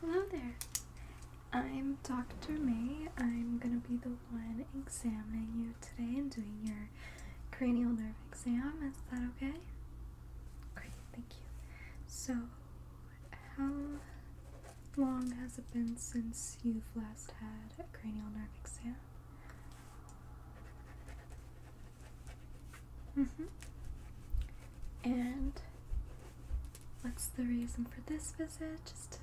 Hello there. I'm Dr. May. I'm going to be the one examining you today and doing your cranial nerve exam. Is that okay? Great, thank you. So, how long has it been since you've last had a cranial nerve exam? Mm -hmm. And what's the reason for this visit? Just to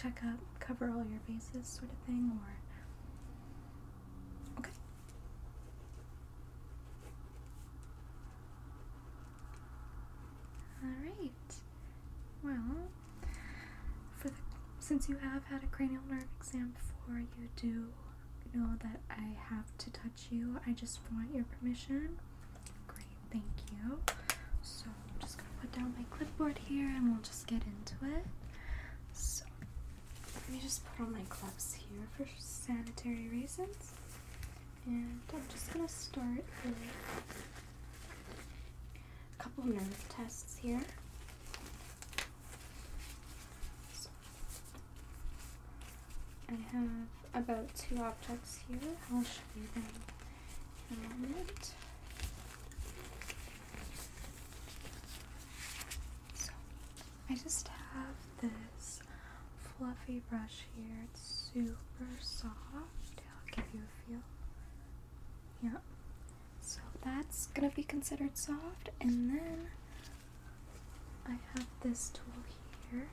check up, cover all your bases, sort of thing, or. Okay. Alright. Well, for since you have had a cranial nerve exam before, you do know that I have to touch you. I just want your permission. Great, thank you. So I'm just gonna put down my clipboard here and we'll just get into it. So let me just put on my gloves here for sanitary reasons. And I'm just gonna start a couple nerve tests here. I have about two objects here. I'll show you them in a moment. So, I just have this fluffy brush here. It's super soft. I'll give you a feel. Yeah. So that's gonna be considered soft. And then I have this tool here,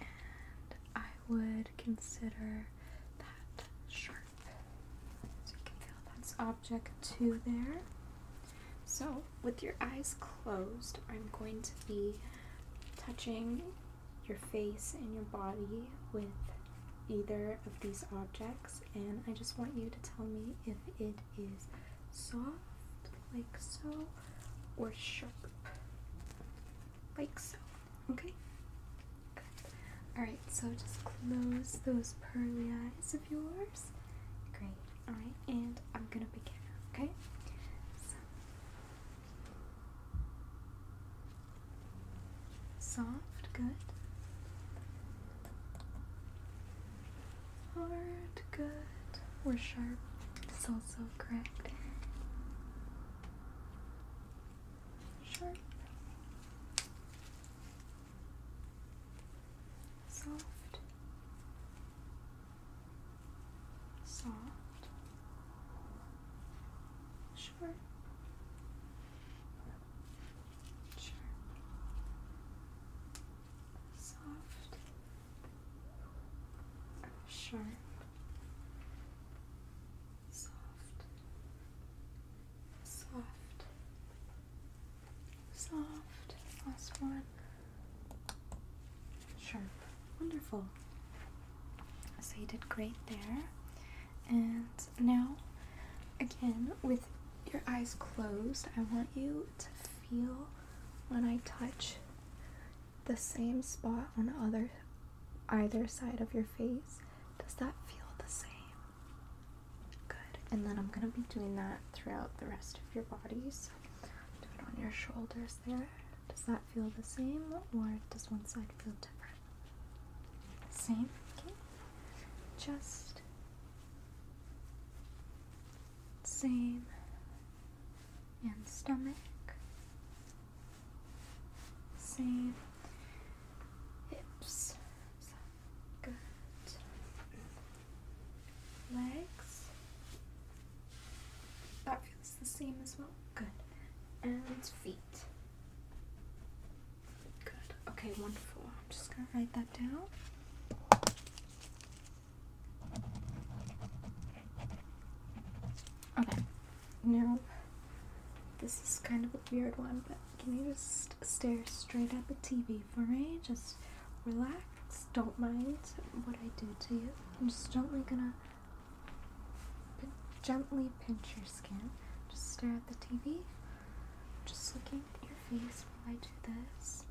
and I would consider that sharp. So you can feel that's object two there. So, with your eyes closed, I'm going to be touching your face and your body with either of these objects, and I just want you to tell me if it is soft, like so, or sharp, like so. Okay? Good. Alright, so just close those pearly eyes of yours. Great. Alright, and I'm gonna begin, okay? Soft, good hard, good, We're sharp is also correct. Sharp, soft, soft, sharp. Sharp, soft, sharp, soft, soft, soft, last one, sharp, wonderful. So you did great there. And now, again, with your eyes closed, I want you to feel when I touch the same spot on other either side of your face. Does that feel the same? Good. And then I'm gonna be doing that throughout the rest of your body. So do it on your shoulders there. Does that feel the same or does one side feel different? Same, okay. Just same and stomach same hips good legs that feels the same as well good and feet good okay wonderful I'm just gonna write that down Okay. Now, this is kind of a weird one, but can you just stare straight at the TV for me? Just relax. Don't mind what I do to you. I'm just gently gonna gently pinch your skin. Just stare at the TV. Just looking at your face while I do this.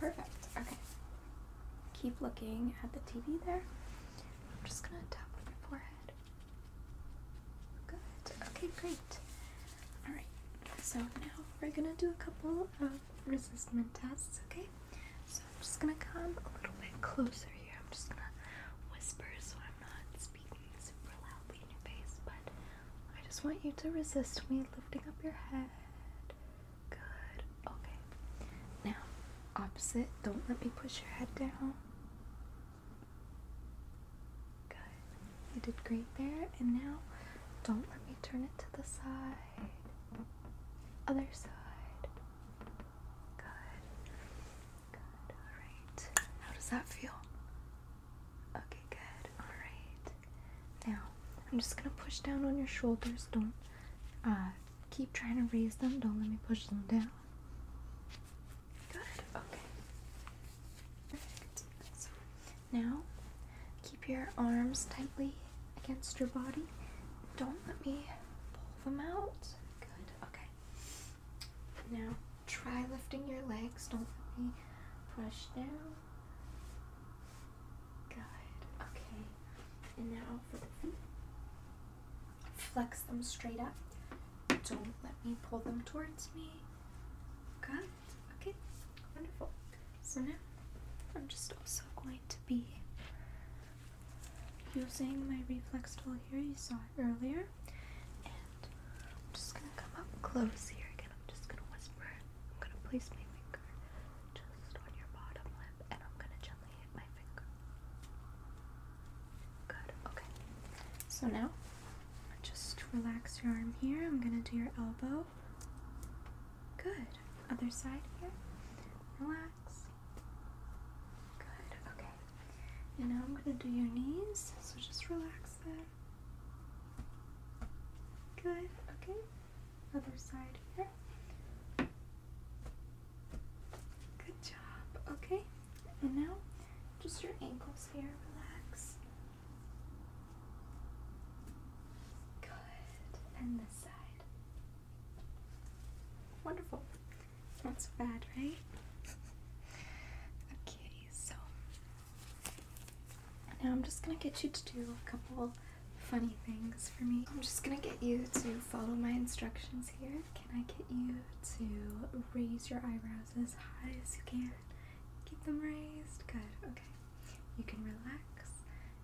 Perfect. Okay. Keep looking at the TV there. I'm just gonna tap on your forehead. Good. Okay, great. Alright, so now we're gonna do a couple of resistance tests, okay? I'm just gonna come a little bit closer here. I'm just gonna whisper so I'm not speaking super loudly in your face, but I just want you to resist me lifting up your head. Good. Okay. Now, opposite. Don't let me push your head down. Good. You did great there. And now, don't let me turn it to the side. Other side. Good. Good. Alright. How does that feel? Okay, good. Alright. Now, I'm just gonna push down on your shoulders. Don't uh, keep trying to raise them. Don't let me push them down. Good, okay. Perfect. So now keep your arms tightly against your body. Don't let me pull them out. Good. Okay. Now try lifting your legs. Don't let me push down. Good. Okay. And now for the feet. Flex them straight up. Don't let me pull them towards me. Good. Okay. Wonderful. So now I'm just also going to be using my reflex tool here. You saw earlier. And I'm just going to come up close here again. I'm just going to whisper. I'm going to place my finger just on your bottom lip and I'm going to gently hit my finger. Good. Okay. So now, just relax your arm here. I'm going to do your elbow. Good. Other side here. Relax. Good, okay. And now I'm going to do your knees, so just relax there. Good, okay. Other side here. Good job, okay. And now just your ankles here, relax. Good, and this side. Wonderful. Not so bad, right? okay, so now I'm just gonna get you to do a couple funny things for me. I'm just gonna get you to follow my instructions here. Can I get you to raise your eyebrows as high as you can? Keep them raised. Good, okay. You can relax.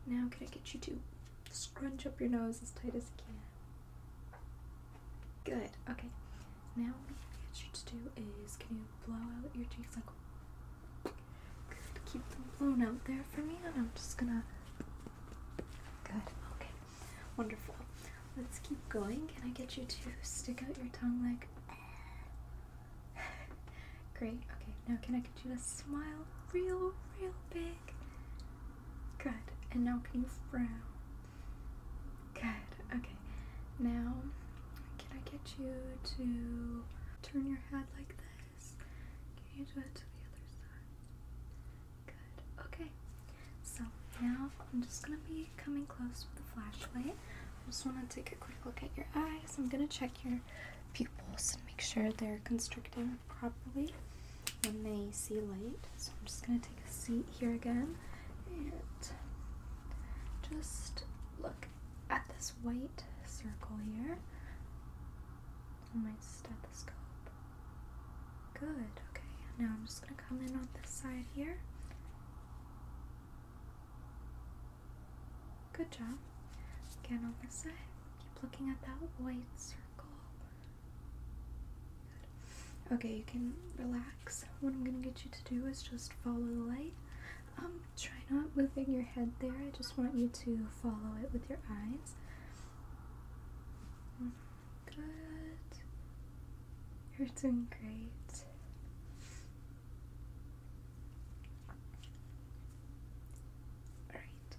Now, can I get you to Scrunch up your nose as tight as you can. Good. Okay. Now what I get you to do is can you blow out your cheeks like Keep them blown out there for me and I'm just gonna Good. Okay. Wonderful. Let's keep going. Can I get you to stick out your tongue like Great. Okay. Now can I get you to smile real, real big? Good. And now can you frown? Good. Okay. Now, can I get you to turn your head like this? Can you do it to the other side? Good. Okay. So now I'm just gonna be coming close with a flashlight. I just want to take a quick look at your eyes. I'm gonna check your pupils and make sure they're constricting properly when they see light. So I'm just going to take a seat here again and just look at this white circle here on my stethoscope. Good, okay. Now I'm just going to come in on this side here. Good job. Again on this side. Keep looking at that white circle. Okay, you can relax. What I'm gonna get you to do is just follow the light. Um, try not moving your head there. I just want you to follow it with your eyes. Good. You're doing great. Alright,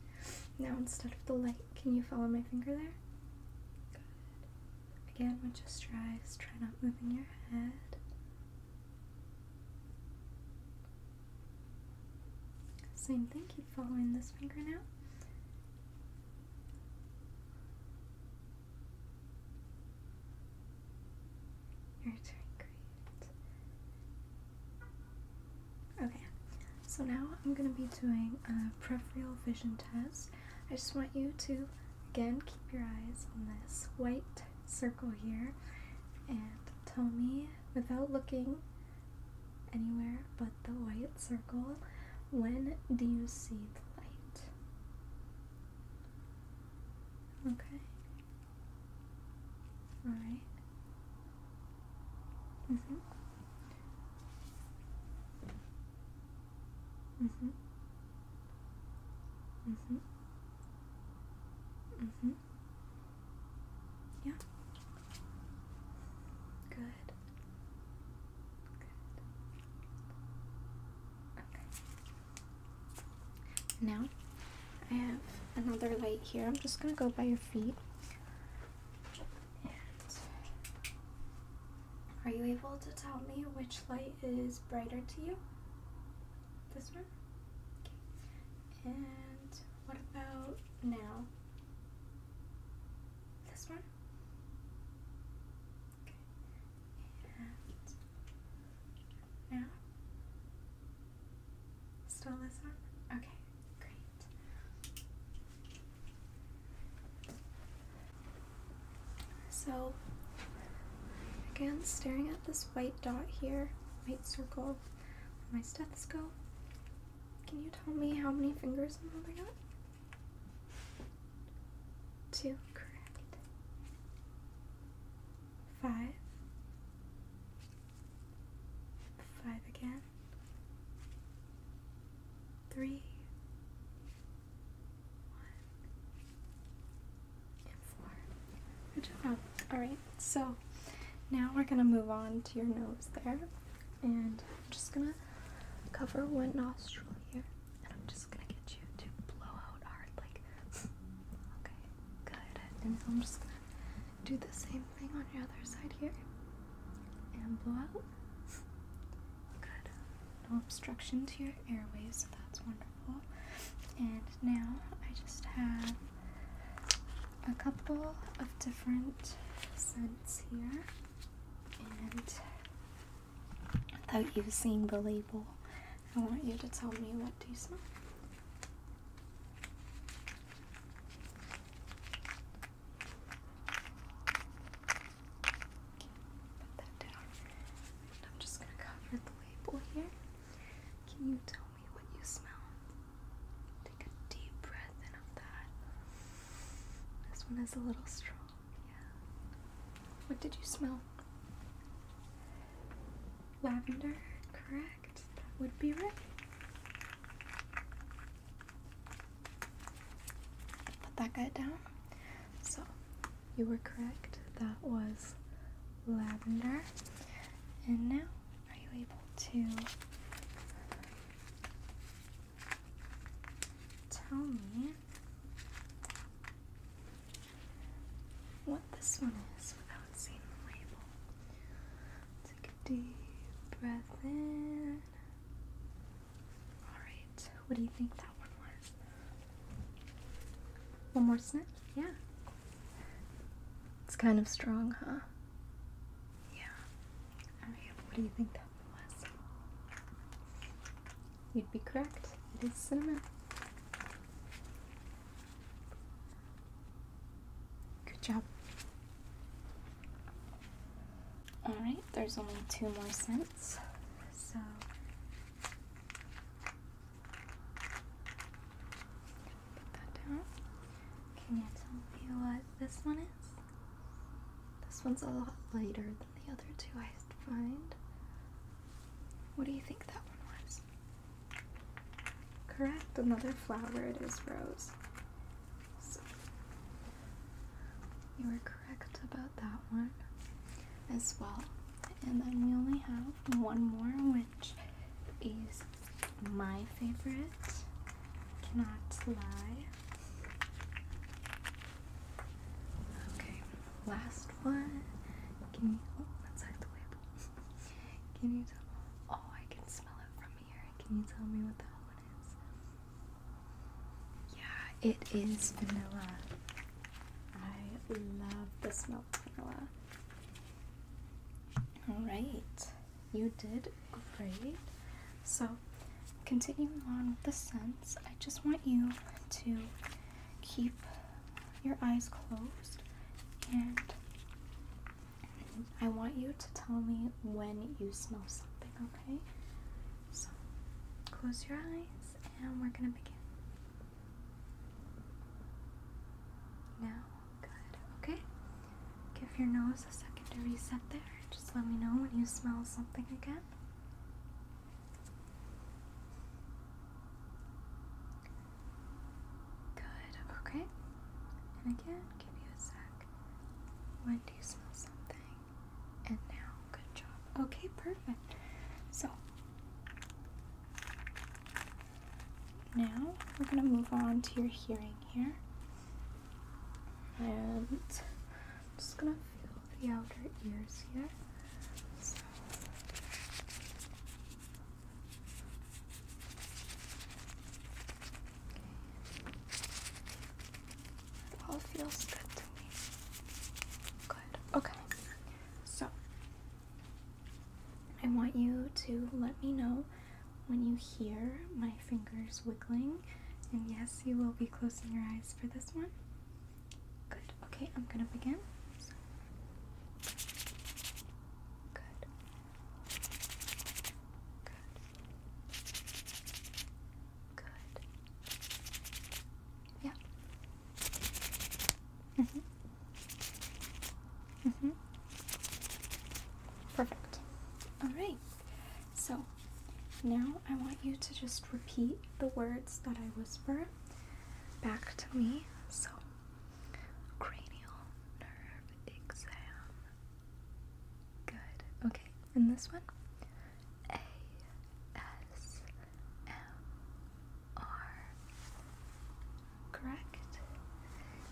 now instead of the light, can you follow my finger there? Good. Again, with just your eyes, try not moving your head. Same thing, keep following this finger now. You're doing great. Okay, so now I'm going to be doing a peripheral vision test. I just want you to, again, keep your eyes on this white circle here and tell me without looking anywhere but the white circle when do you see the light? Okay, all right. Mhm. Mhm. Mhm. Mhm. Yeah. Good. Good. Okay. Now, I have another light here. I'm just gonna go by your feet. are you able to tell me which light is brighter to you? This one? Okay. And what about now? This one? Okay. And now? Still this arm? Okay, great. So, again, staring at this white dot here, white circle on my stethoscope. Can you tell me how many fingers I'm holding up? Two, correct. Five. Five again. Three. One. four. Good job. Alright, so now we're going to move on to your nose there. And I'm just going to cover one nostril here. And I'm just going to get you to blow out hard like. Okay, good. And I'm just going to do the same thing on your other side here and blow out. Good. No obstruction to your airways, that's wonderful. And now I just have a couple of different scents here, and I thought you seeing the label, I want you to tell me what do you smell. Okay, put that down. I'm just gonna cover the label here. Can you tell me what you smell? Take a deep breath in of that. This one is a little strong, yeah. What did you smell? Lavender, correct would be right. Put that guy down. So, you were correct. That was lavender. And now, are you able to tell me what this one is without seeing the label. Take a deep breath in. Alright, what do you think that one was? One more sniff? Yeah. It's kind of strong, huh? Yeah. Alright, what do you think that was? You'd be correct. It is cinnamon. Good job. Alright, there's only two more cents, So put that down. Can you tell me what this one is? This one's a lot lighter than the other two I find. What do you think that one was? Correct, another flower it is rose. So, you were correct about that one as well. And then we only have one more, which is my favorite. Cannot lie. Okay, last one. Give me. Oh, that's like the label. Can you tell? Oh, I can smell it from here. Can you tell me what that one is? Yeah, it is vanilla. I love the smell of vanilla. Alright, you did great. So, continuing on with the scents, I just want you to keep your eyes closed and I want you to tell me when you smell something, okay? So close your eyes and we're gonna begin. Now, good, okay? Give your nose a second to reset there. Just let me know when you smell something again. Good, okay. And again, give you a sec. When do you smell something? And now, good job. Okay, perfect. So, now we're going to move on to your hearing here. And I'm just going to feel the outer ears here. It all feels good to me. Good. Okay. So, I want you to let me know when you hear my fingers wiggling. And yes, you will be closing your eyes for this one. Good. Okay, I'm gonna begin. Good. Good. Good. Yeah. Mhm. Mhm. Perfect. All right. So now I want you to just repeat the words that I whisper back to me. So, cranial nerve exam. Good. Okay, and this one? A S M R. Correct?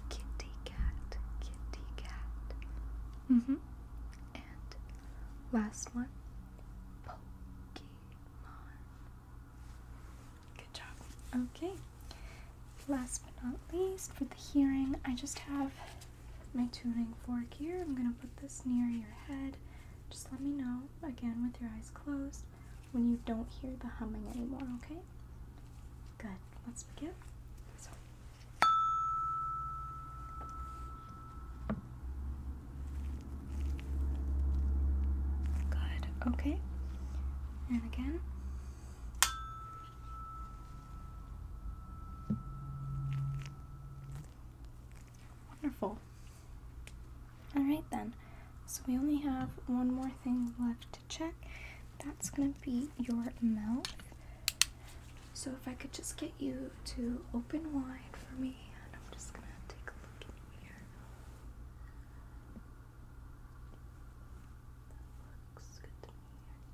Kitty cat, kitty cat. hmm. And last one Good job. Okay. Last but not least, for the hearing, I just have my tuning fork here. I'm going to put this near your head. Just let me know, again, with your eyes closed, when you don't hear the humming anymore, okay? Good. Let's begin. So. Good, okay. And again. Wonderful. Alright then, so we only have one more thing left to check. That's going to be your mouth. So if I could just get you to open wide for me, and I'm just going to take a look can you hear? looks good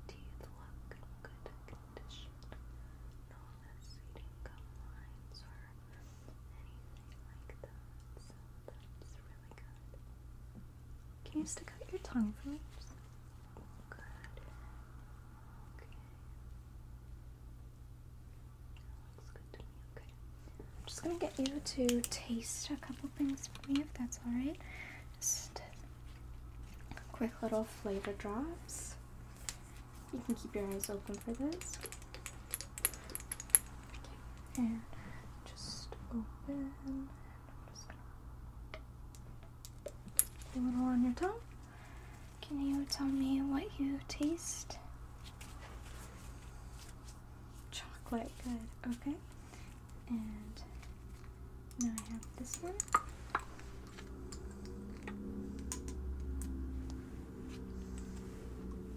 teeth look in good condition. No receding gum lines or anything like that. So really good. Can you stick out your tongue for me? Good. Okay. I'm just gonna get you to taste a couple things for me if that's alright. Just quick little flavor drops. You can keep your eyes open for this. Okay. And just open and i to a little on your tongue. Can you tell me what you taste? Chocolate, good, okay. And now I have this one.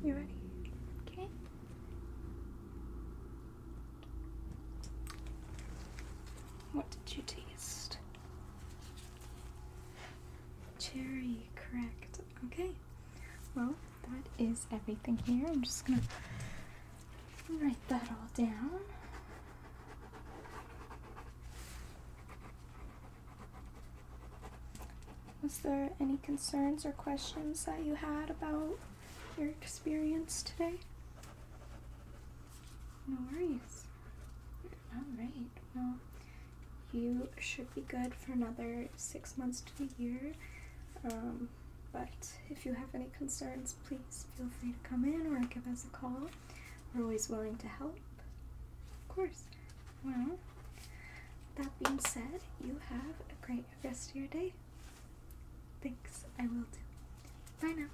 You ready? Okay. What did you taste? Cherry, correct. Okay. Well, that is everything here. I'm just gonna write that all down. Was there any concerns or questions that you had about your experience today? No worries. Alright, well, you should be good for another six months to a year. Um, but if you have any concerns, please feel free to come in or give us a call. We're always willing to help. Of course. Well, that being said, you have a great rest of your day. Thanks, I will do. Bye now.